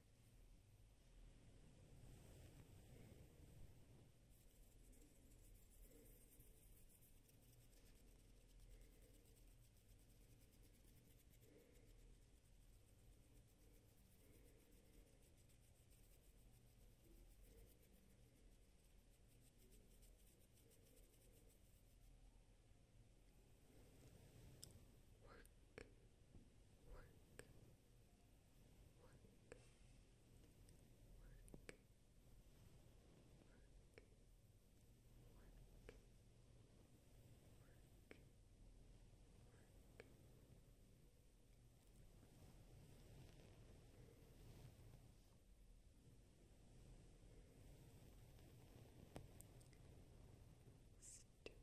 Work, work, work, work, work, work, work, work. Stipple,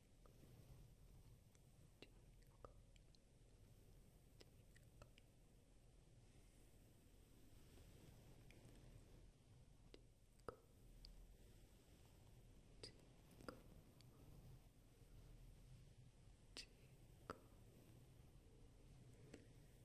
Twinkle. Twinkle. Twinkle. Twinkle. Twinkle. Twinkle. Twinkle.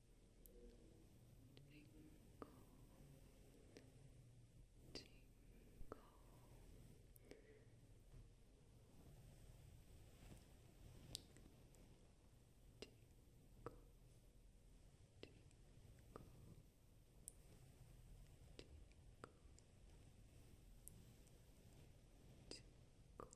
Jingle, jingle. Jingle, jingle, jingle, jingle.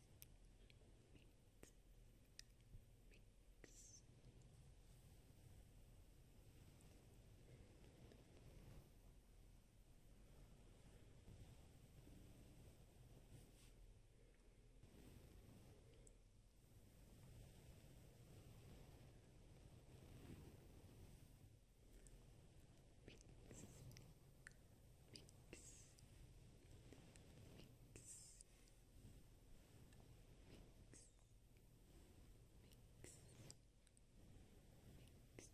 mix, mix. Mix, mix, mix, mix, mix, mix. Mix, mix, mix. Mix,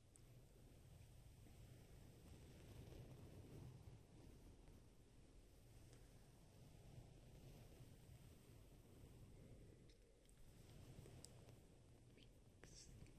Weeks. Weeks. Weeks. Weeks. Weeks.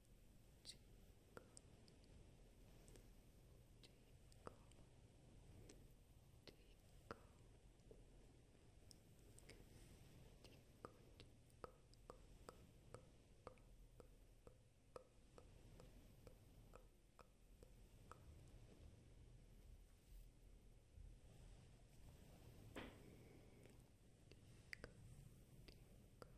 tickle, tickle,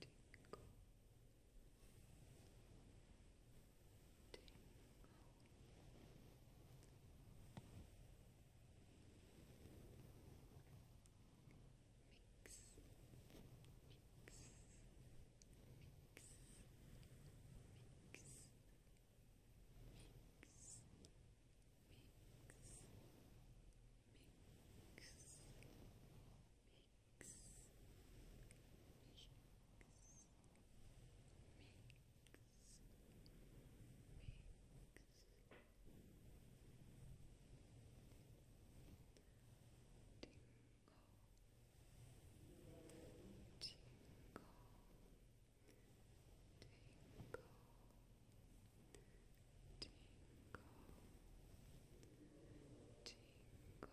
Tingle. Tingle. Mix. Mix. Mix. Mix. Mix mix, mix, mix, mix, mix, mix, mix. Tingle, tingle, tingle, Tingle, tingle, tingle. Tinkle, tinkle,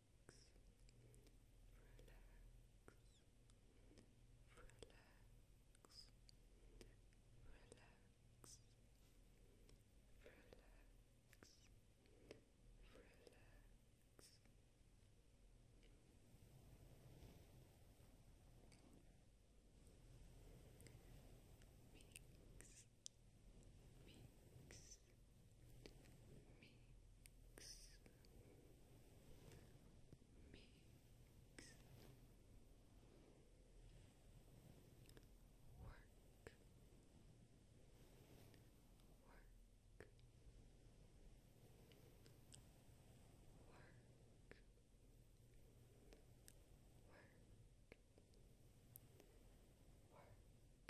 relax, mix, mix, mix, mix, work, work, work, work. Work,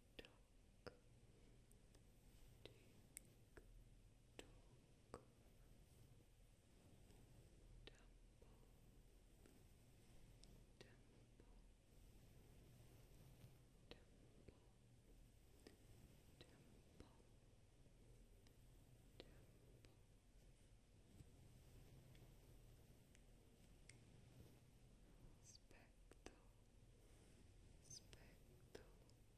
talk, tick, temple, temple, temple, temple, temple. Spectacle, Aspetto mix mix mix Stipple. Stipple.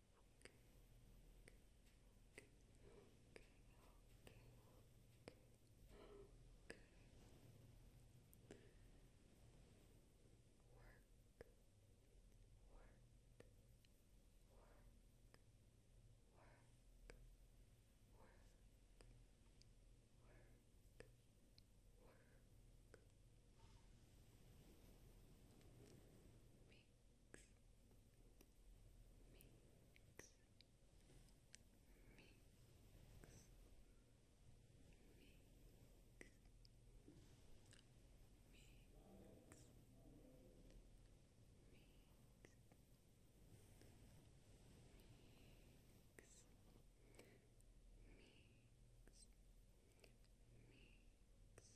work, mix, mix, mix, mix, mix, mix, mix, mix.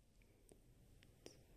It's okay. Tinkle.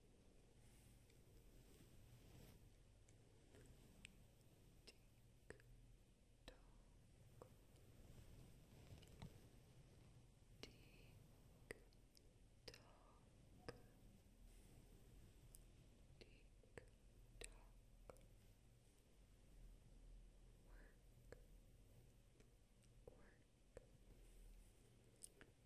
Tick tock, tick tock, tick tock. Work, work,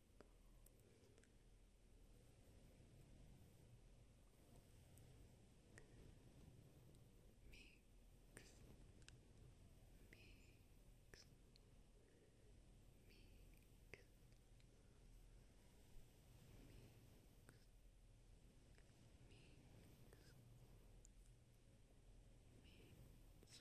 Mix, mix, mix, mix, mix, mix. Mix,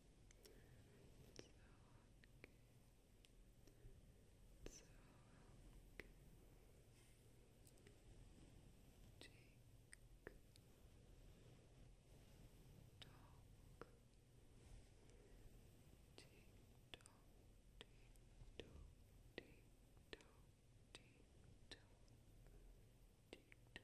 It's okay. It's okay. Take talk. Tick tock, tick tock, tick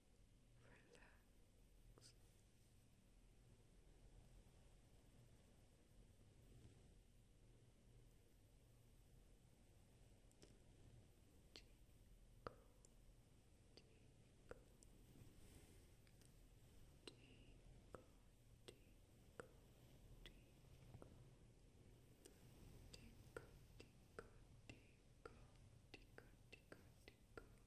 relax. Tinkle, tinkle, tinkle, tinkle, tinkle, tinkle, tinkle, tinkle, tinkle, tinkle, tinkle.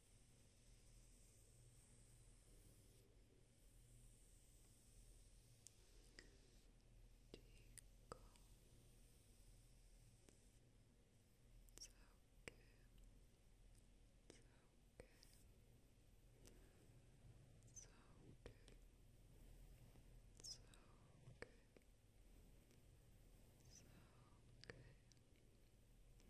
Tico. It's okay. It's okay. It's okay. It's okay. It's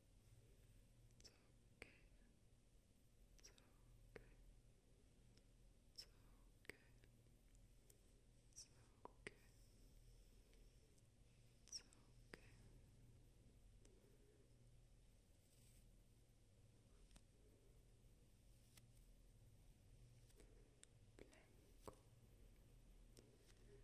okay. It's okay. It's okay. It's okay. It's okay. Blanco.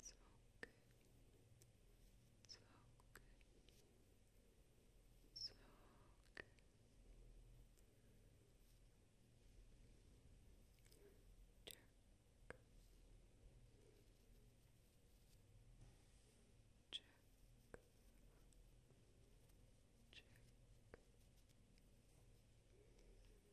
It's all good. It's all good. It's all good. Jerk. Jerk. Jerk. Jerk.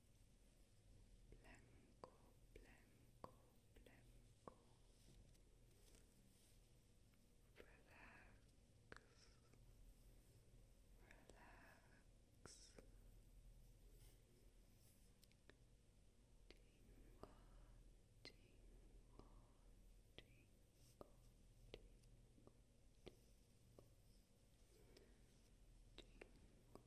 blanco, blanco, blanco. Relax, relax. Tingle, tingle, tingle, tingle, tingle, tingle,